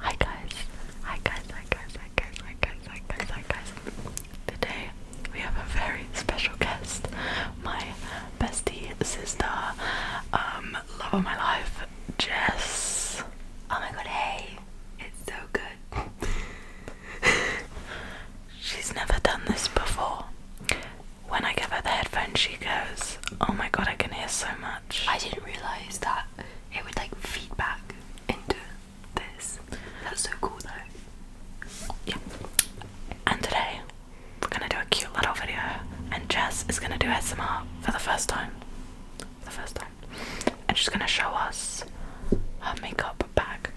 Hi guys. Hi guys, hi guys, hi guys, hi guys, hi guys, hi guys. Today we have a very special guest, my bestie sister, um, love of my life, Jess. Oh my god, hey, it's so good. She's never done this before. When I give her the headphones, she goes, Oh my god, I can hear so much. I didn't realise that it would like feed into this. That's so cool though. Yeah. And today we're gonna do a cute little video and Jess is gonna do SMR for the first time. the first time. And she's gonna show us her makeup bag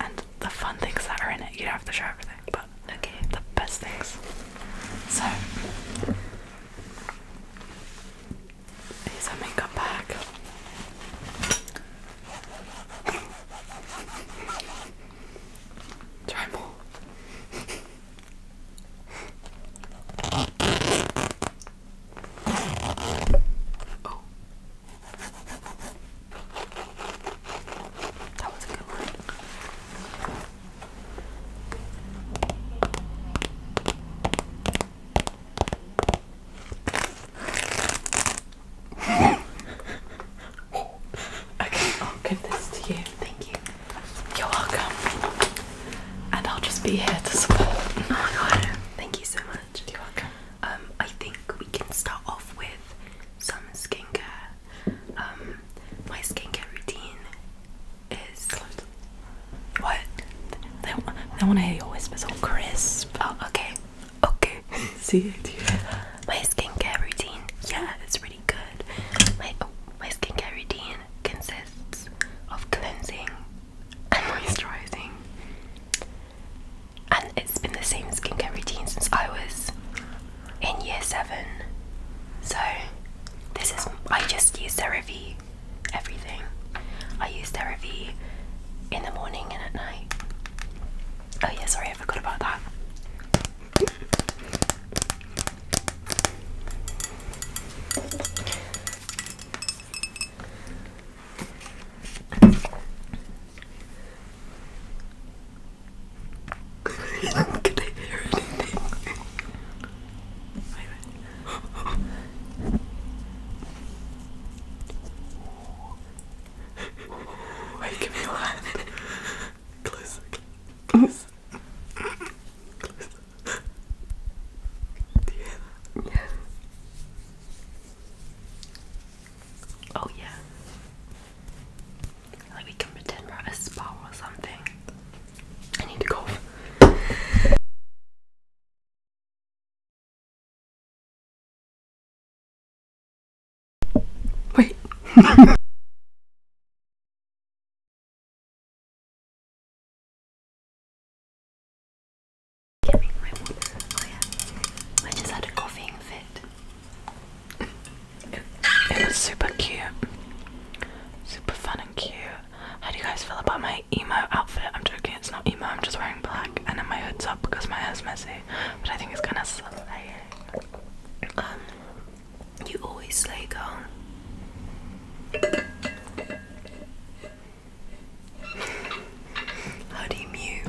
and the fun things that are in it. You don't have to show everything, but okay, the best things. So Here's our makeup bag. Try more. Oh. That was a good one okay, I'll give this to you. Thank you. You're welcome. And I'll just be here to support. Oh my god. Thank you so much. You're welcome. Um, I think we can start off with some skincare. Um, my skincare routine is what they, they want to hear your whispers all crisp. Oh, okay, okay. See it. My skincare routine, yeah, it's really good. My my skincare routine consists of cleansing and moisturizing, and it's been the same skincare routine since I was in year seven. So this is I just used use review everything. I use therapy in the morning and at night. Oh, yeah, sorry, I forgot about that. Can I hear anything? Wait, give me a hand. Close. Close. Yeah. Oh yeah. Like we can pretend we're at a spa or something. I need to cough. Wait. I just had a coughing fit. It was super cute, super fun and cute. How do you guys feel about my emo outfit? I'm joking, it's not emo, I'm just wearing black and then my hood's up because my hair's messy. But I think it's gonna slay. Um, you always slay, girl. How do you mew?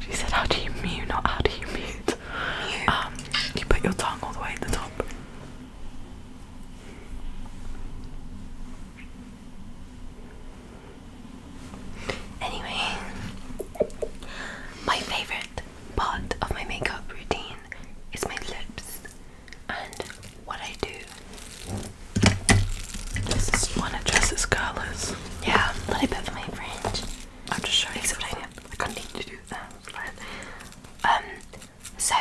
she said, How do you mew? Not how do you mute? Um, you put your tongue all the way at the top. Anyway, my favorite part of my makeup routine is my lips, and what I do. This is one of Jess's curlers. Yeah, a little my fringe. I'm just showing Explain you. Explain I can't need to do that. Um, so,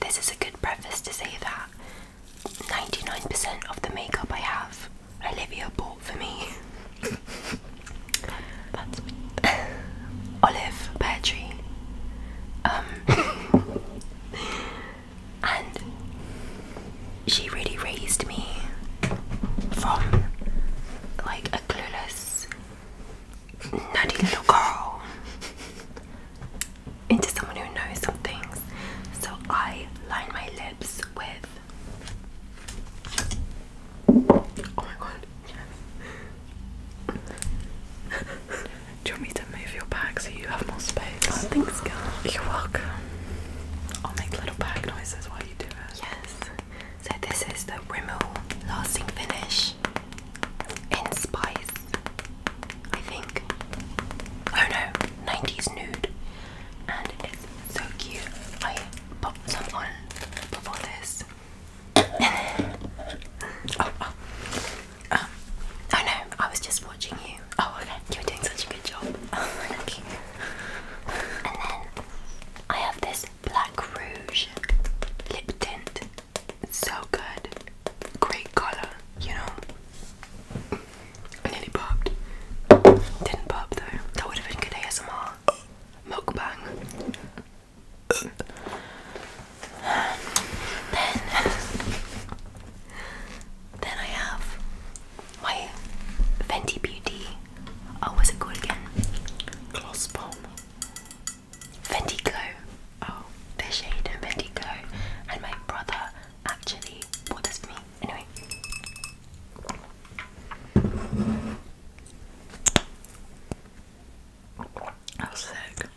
this is a good preface to say that 99% of the makeup I have, Olivia bought for me. That's Olive Pear Tree. Um, and she really raised me from like a clueless, nutty little girl into someone who knows some things. So I line my lips with. Oh do you want me to move your bag so you have more space? Oh, thanks, girl. You're welcome. I'll make little bag noises while you do it. Yes. So this is the Rimmel Lasting Finish in Spice, I think. Oh no, 90s Nude. And it's so cute. I popped some on before this. oh, oh. Uh, oh. no, I was just watching you. Oh okay, you're doing such a good job. Oh, thank you. And then I have this Black Rouge lip tint. It's so good. Great color, you know. I nearly popped. Didn't pop though. That would have been good ASMR. Mukbang. then then I have my Fenty Beauty Oh, was it called again? Gloss Bomb. Bendigo. Oh, their shade in Bendigo. And my brother actually bought this for me. Anyway. That was sick.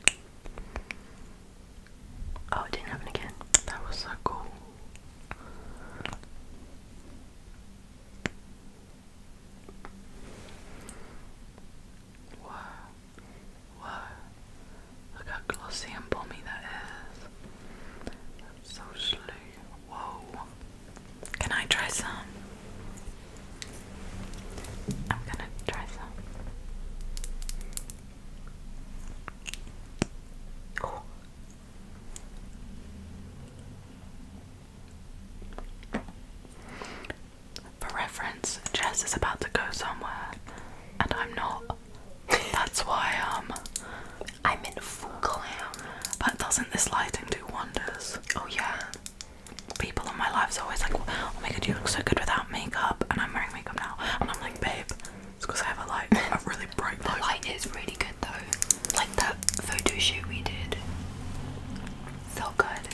Oh, it didn't happen again. That was so cool. Whoa, whoa, look how glossy and balmy that is. so slow. Whoa, can I try some? I'm gonna try some. For reference, Jess is about to go somewhere, and I'm not. That's why um, I'm in full glam. But doesn't this lighting do wonders? Oh yeah. People in my life are always like, oh my god, you look so good without makeup, and I'm wearing makeup now, and I'm like, babe, it's because I have a light, a really bright light. light is really good though like that photo shoot we did. So good.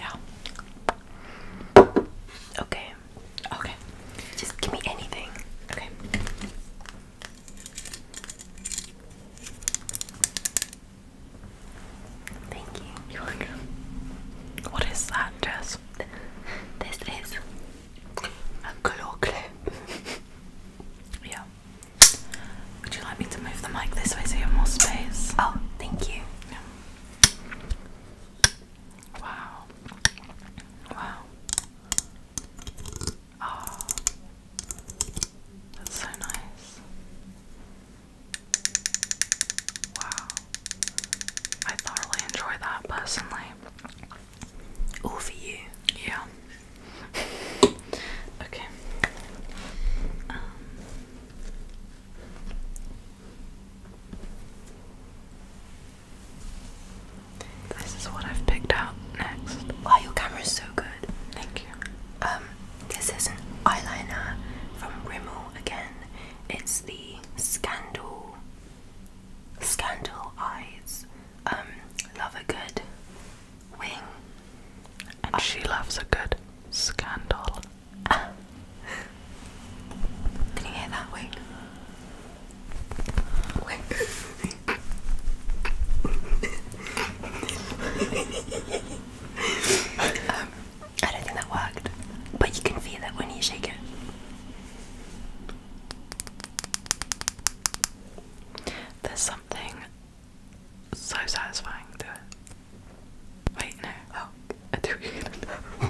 Yeah. Okay. Okay. Just give me anything. Okay. Thank you. What is that, Jess? This is a claw clip. yeah. Would you like me to move the mic this way so you have more space? Oh, thank you. Wow. Wow. Oh. That's so nice. Wow. I thoroughly enjoy that personally. All for you. Yeah okay. Um, this is what I've picked out next. Why your camera's so good. Thank you. Um, this is an eyeliner from Rimmel again. It's the Scandal Scandal Eyes. Um, love a good wing. And she loves a good scandal. can you hear that wing? Wing. Um, I don't think that worked, but you can feel it when you shake it. There's something so satisfying to it. Wait, no. Oh, I do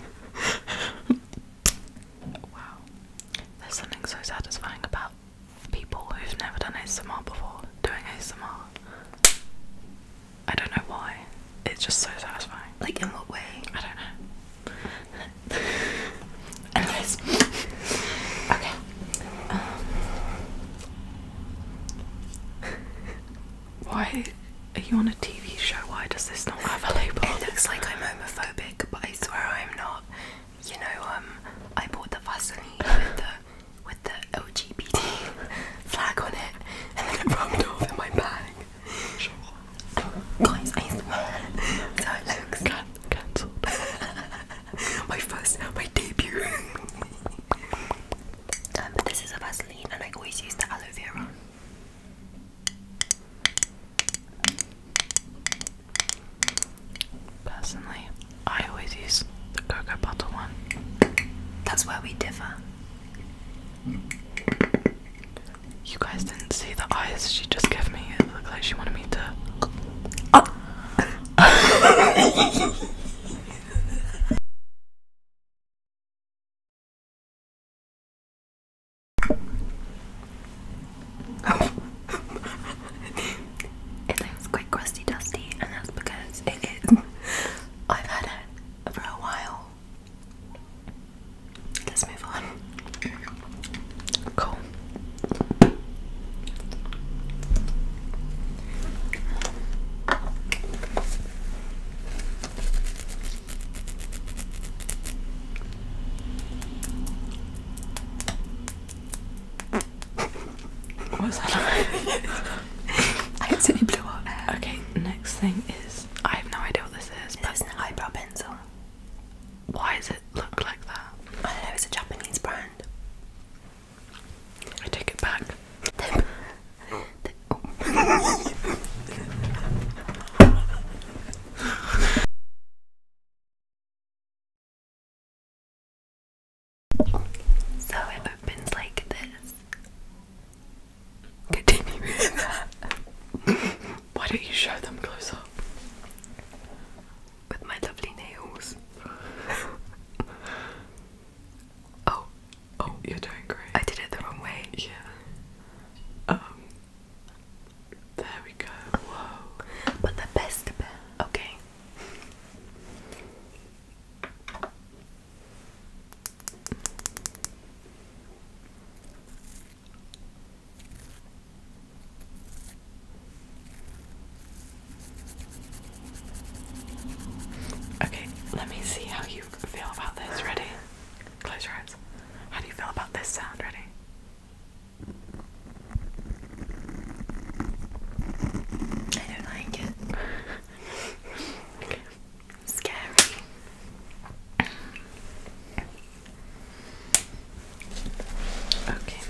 Wow. There's something so satisfying about people who've never done ASMR before doing ASMR. I don't know why. It's just so satisfying. Like, in what way? I don't know. and Okay. Um, why are you on a TV show? Why does this not have a label? It looks like I'm homophobic, but I swear I'm not. You know, um, I bought the Vaseline with the with the LGBT flag on it, and then it rubbed off in my bag. Sure. So it looks cancelled. my first, my debut. um, this is a Vaseline, and I always use the aloe vera. Personally, I always use the cocoa butter one. That's where we differ. You guys didn't see the eyes she just gave me. It looked like she wanted me to. Uh, it was quite crusty dusty, and that's because it is. I've had it for a while. Let's move on. Cool. What was that? I accidentally blew out air. Okay, next thing is I have no idea what this is, but it's an eyebrow pencil. Why does it look like that? I don't know, it's a Japanese brand. I take it back. so it opens like this. Continue Why don't you show them closer? with my lovely nails. oh, oh, you're doing great. I did it the wrong way. Yeah. Um. There we go. Whoa. But the best bit. Okay. Okay, let me see how you feel about this. Ready? Close your eyes. How do you feel about this sound? Ready? I don't like it. Scary. Okay.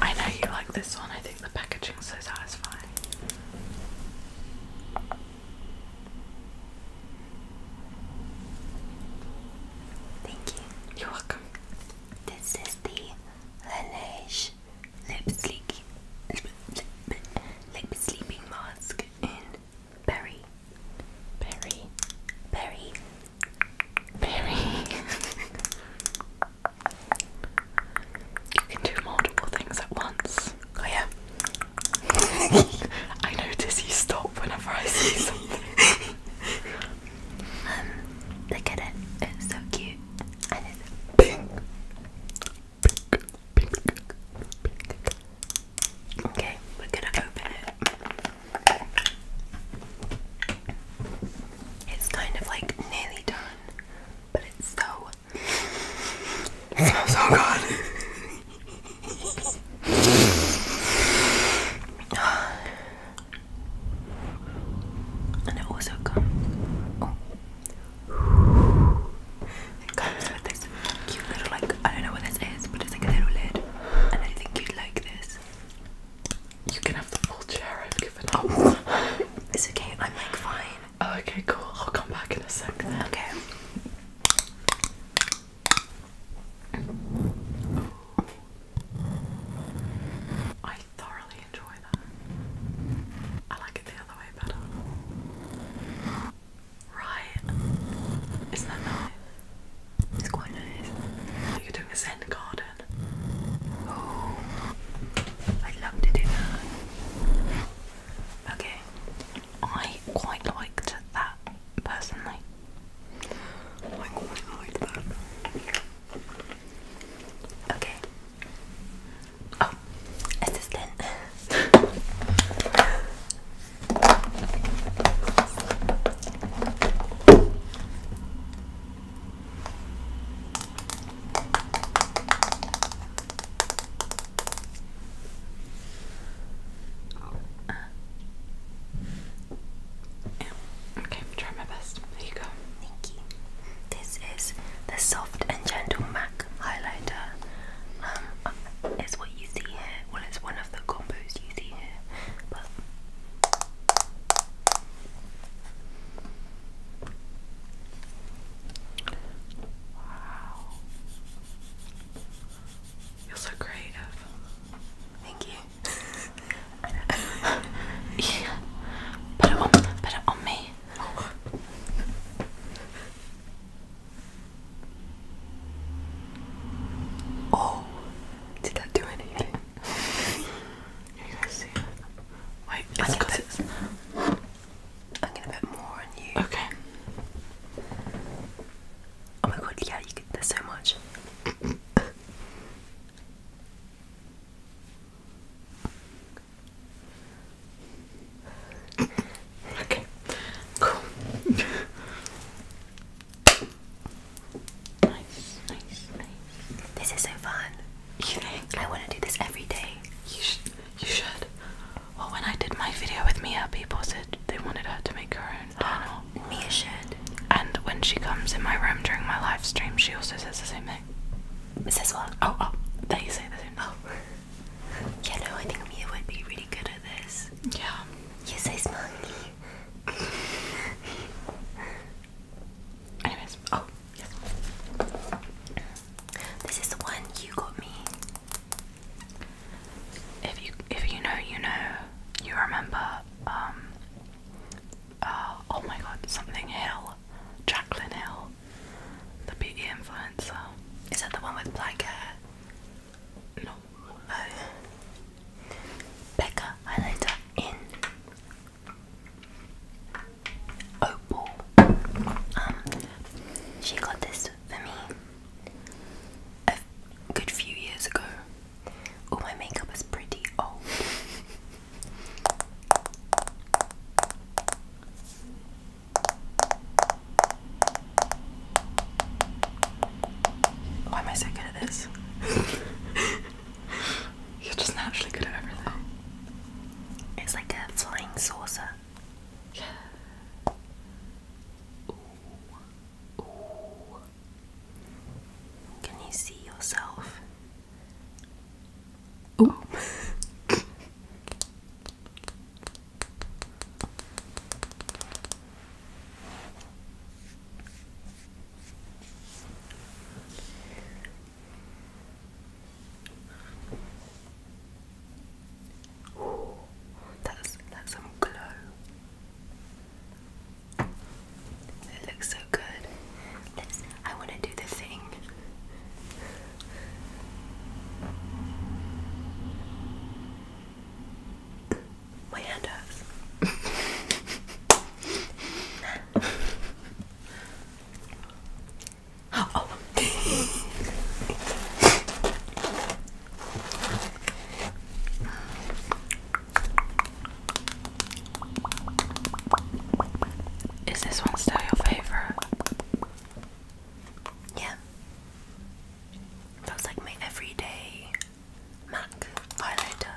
I know you like this one, I think the packaging's so satisfying. Thank you. welcome. This is the Laneige Lip Sleek Lip Sleeping Mask in berry, berry, berry, berry. you can do multiple things at once. Oh yeah. I notice you stop whenever I see something. Um, look at it. It's so cute. Pink, pink, pink, pink, Okay, we're gonna open it. It's kind of like nearly done, but it's so it so good. and it also comes. Oh. It comes with this cute little like I don't know what this is, but it's like a little lid. I think you'd like this. You can have the full chair I've given up. Oh, it's okay, I'm like fine. Oh, okay, cool. I'll come back in a second. Okay. I thoroughly enjoy that. I like it the other way better. Right. Isn't that nice? It's quite nice. you're doing a Zen garden. Oh, I'd love to do that. Okay, I quite liked that personally. I quite liked that. Okay. Oh, assistant. Uh, okay, i my best. There you go. This is the soft and gentle MAC highlighter. Um, uh, it's what you see here. Well, it's one of you are so creative. Thank you. put it on, put it on me. Oh. Oh, did that do anything? you guys see Wait, it's because it's. I'm gonna bet more on you. Okay. Oh my god, yeah, you could, there's so much. okay, cool. Nice, nice, nice. This is so fun. I want to do this every day. You should. You should. Well, when I did my video with Mia, people said they wanted her to make her own channel. Mia should. And when she comes in my room during my live stream, she also says the same thing. Says what? Oh, oh, that you say that? Oh. yeah, no, I think Mia would be really good at this. Yeah. you say, so Anyways, oh This is the one you got me. If you if you know, you know, you remember, um uh, oh my god, something Hill. Jacqueline Hill, the beauty influencer. Is that the one with black hair? no, uh, Becca highlighter in Opal. Um, she got this for me a good few years ago. Oh, my makeup is pretty old. Why am I so good at this? You're just naturally good at everything. It's like a flying saucer. Can you see yourself? that's that's some glow. It looks so good. Let's, I want to do the thing my hand oh. Is this one still your favorite? Yeah. That like my everyday MAC highlighter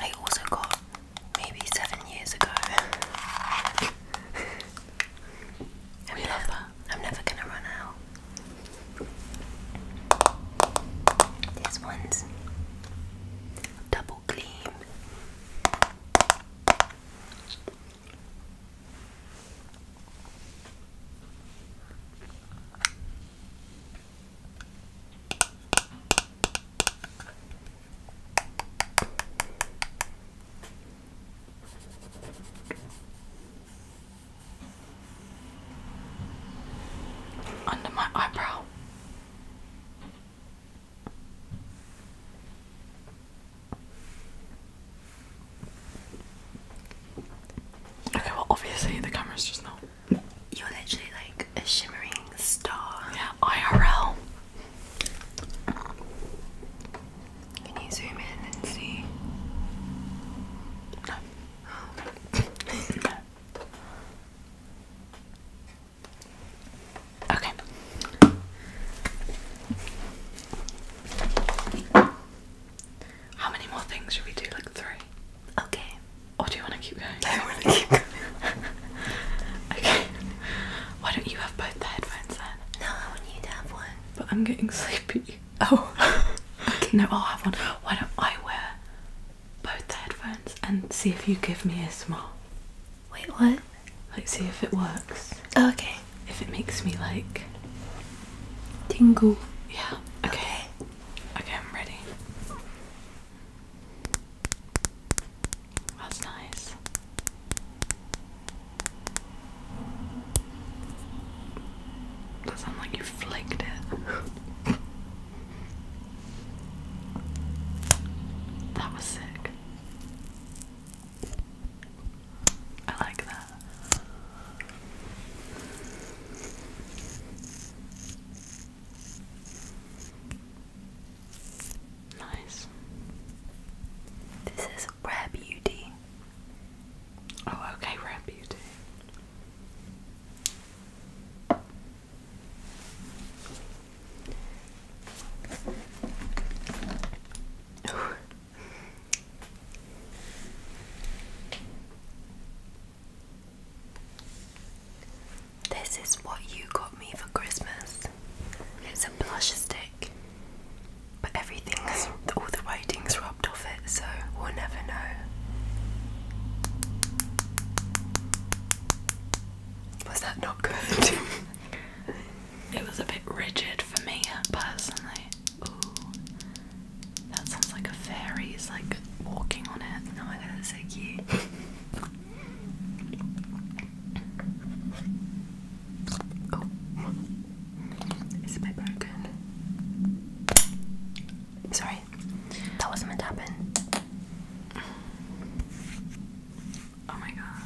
I also got maybe seven years ago. I'm never, I'm never gonna run out. This one's double gleam. Under my eyebrow. Okay, well, obviously the camera's just not. You're literally like a shimmering star. Yeah, IRL. Can you zoom in and see? okay. How many more things should we do? Like three? Okay. Or do you want to keep going? I want to keep going. okay. Why don't you have both the headphones then? No, I want you to have one. But I'm getting sleepy. Oh. okay. No, I'll have one. Why don't I wear both the headphones and see if you give me a smile? Wait, what? Let's see if it works. okay. If it makes me like tingle. Yeah. okay. Okay, I'm ready. That's nice. That sounds like you flaked it. that was sick. I like that. Nice. This is Rare Beauty. Oh, okay, Rare Beauty. This is what you got me for Christmas. It's a blush stick, but everything, all the writing's rubbed off it, so we'll never know. Was that not good? it was a bit rigid for me uh, personally. Ooh. That sounds like a fairy is like walking on it. Oh my god, that's so cute. oh. It's a broken. Sorry. That wasn't meant to happen. Oh my god.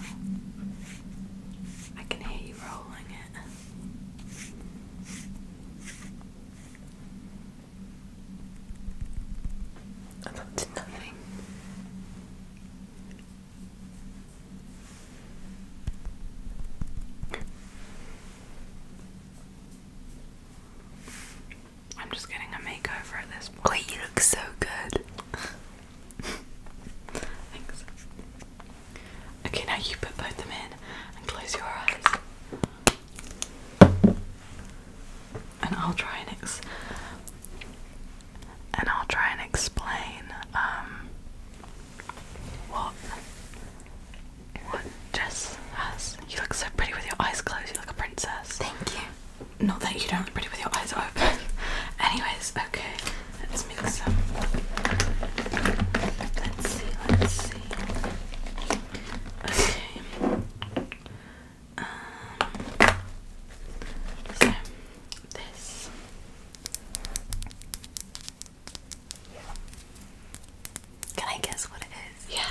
I can hear you rolling it. I don't did nothing. I'm just getting a makeover at this point. Wait, you look so good. Thanks. Okay, now you put both them in and close your eyes. And I'll try and ex and I'll try and explain um what what Jess has. You look so pretty with your eyes closed, you look a princess. Thank you. Not that you don't look pretty with your eyes open. Anyways, okay, let's mix some. Let's see, let's see. Okay. Um, so this. Can I guess what it is? Yeah.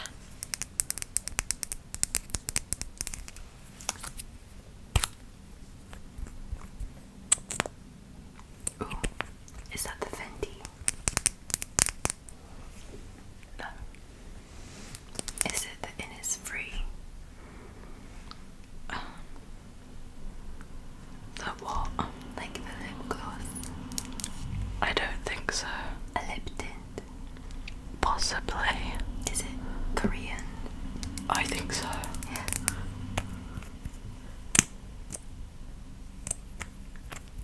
is that the Fendi? Is it that it is free? the oh. what? like the lip gloss? I don't think so. A lip tint? Possibly. Is it Korean? I think so. Yeah.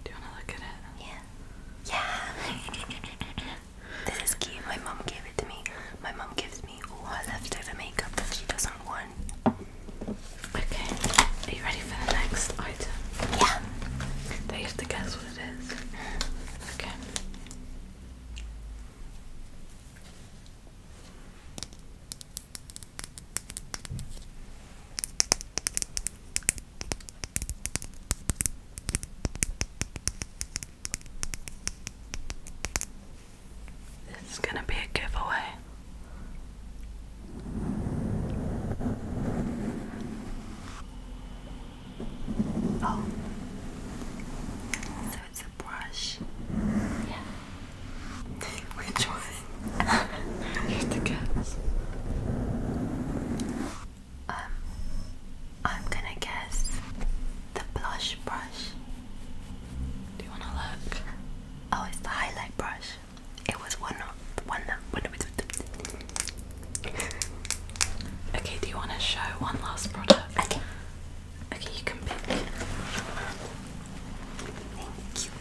Do you want to look at it? Yeah. Yeah. this is cute. My mum gave it to me. My mum gives me all her leftover makeup that she doesn't want. Okay. Are you ready for the next item? Yeah. Do have to guess what it is? Okay. This is going to be a giveaway. Oh, so it's a brush. Yeah. Which one? Here's um, the I'm gonna guess the blush brush. Do you wanna look? Oh, it's the highlight brush. It was one of one that Okay, do you wanna show one last product? Okay. Okay, you can pick. Thank you.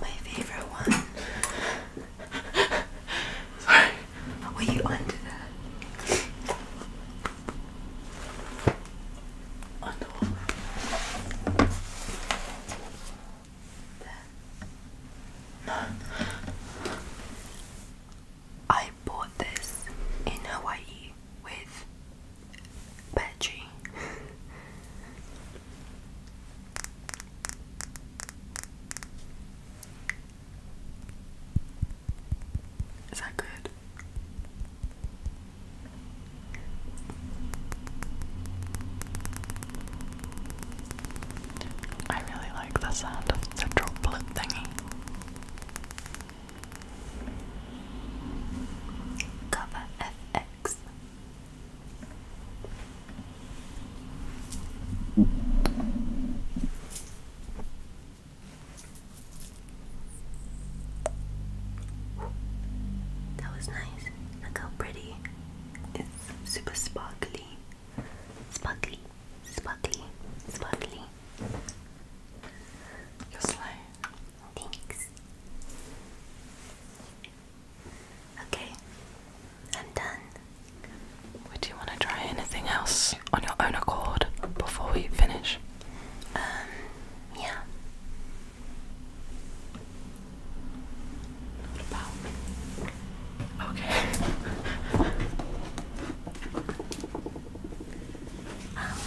My favorite one. Sorry. Were you under that? On the No. I bought this in Hawaii with Petri. Is that good? I really like the sound of the droplet thingy. Cover FX. That was nice. Look how pretty. It's super sparkly. Sparkly, sparkly, sparkly. You're slow. Thanks. Okay, I'm done. Would you want to try anything else on your own accord before we finish? Um, yeah. What about? Okay. Um,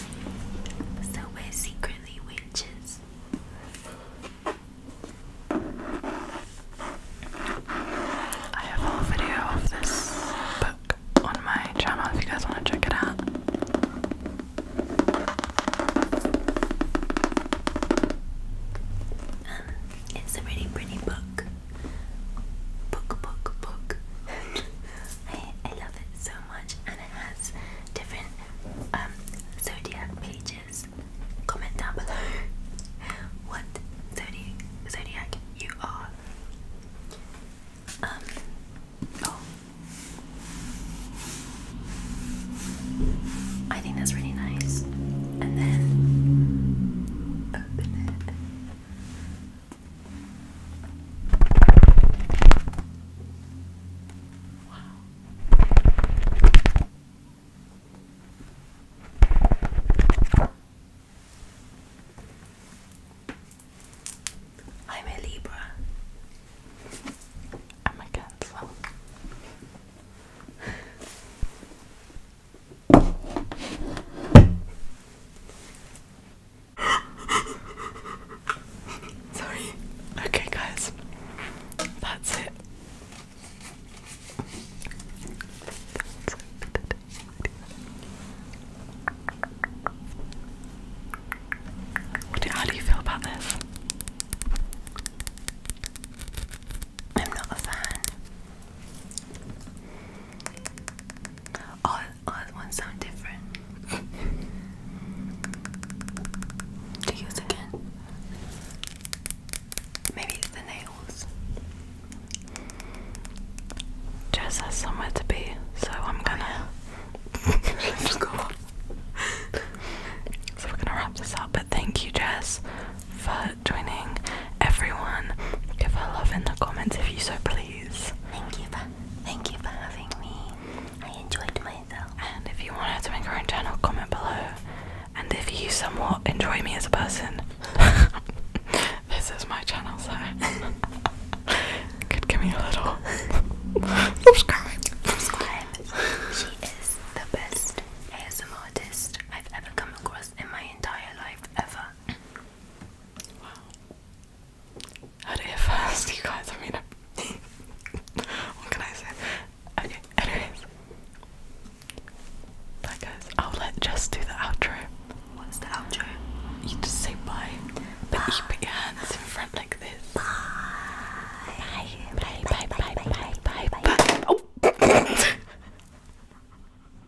so we're secretly witches. I have a video of this book on my channel if you guys want to check it out. Um, it's a really pretty book book, book, book. I, I love it so much, and it has different um, zodiac pages. Comment down below what zodiac, zodiac you are. Um, oh. I think that's really nice. And then open it. Wow. I'm a Libra. I'm a Cancer. Sorry. Okay, guys. That's it. how do you feel about this? I'm not a fan. All, sound different. to use again. Maybe the nails. Jess has somewhere to be, so I'm gonna just go. so we're gonna wrap this up. But thank you, Jess, for joining everyone. Give her love in the comments if you so please. Thank you for thank you for having me. I enjoyed myself. And if you want to make her own channel, comment below. And if you somewhat enjoy me as a person, this is my channel, so could give me a little subscribe. Subscribe. She is the best ASM artist I've ever come across in my entire life ever. Wow. How do you fast, you guys? I mean, what can I say? Okay, anyways. Bye, guys. I'll let Jess do the outro. What's the outro? You just say bye, but you put your hands in front like this. Bye. Bye, bye, bye, bye, bye, bye, bye. bye. bye. Oh.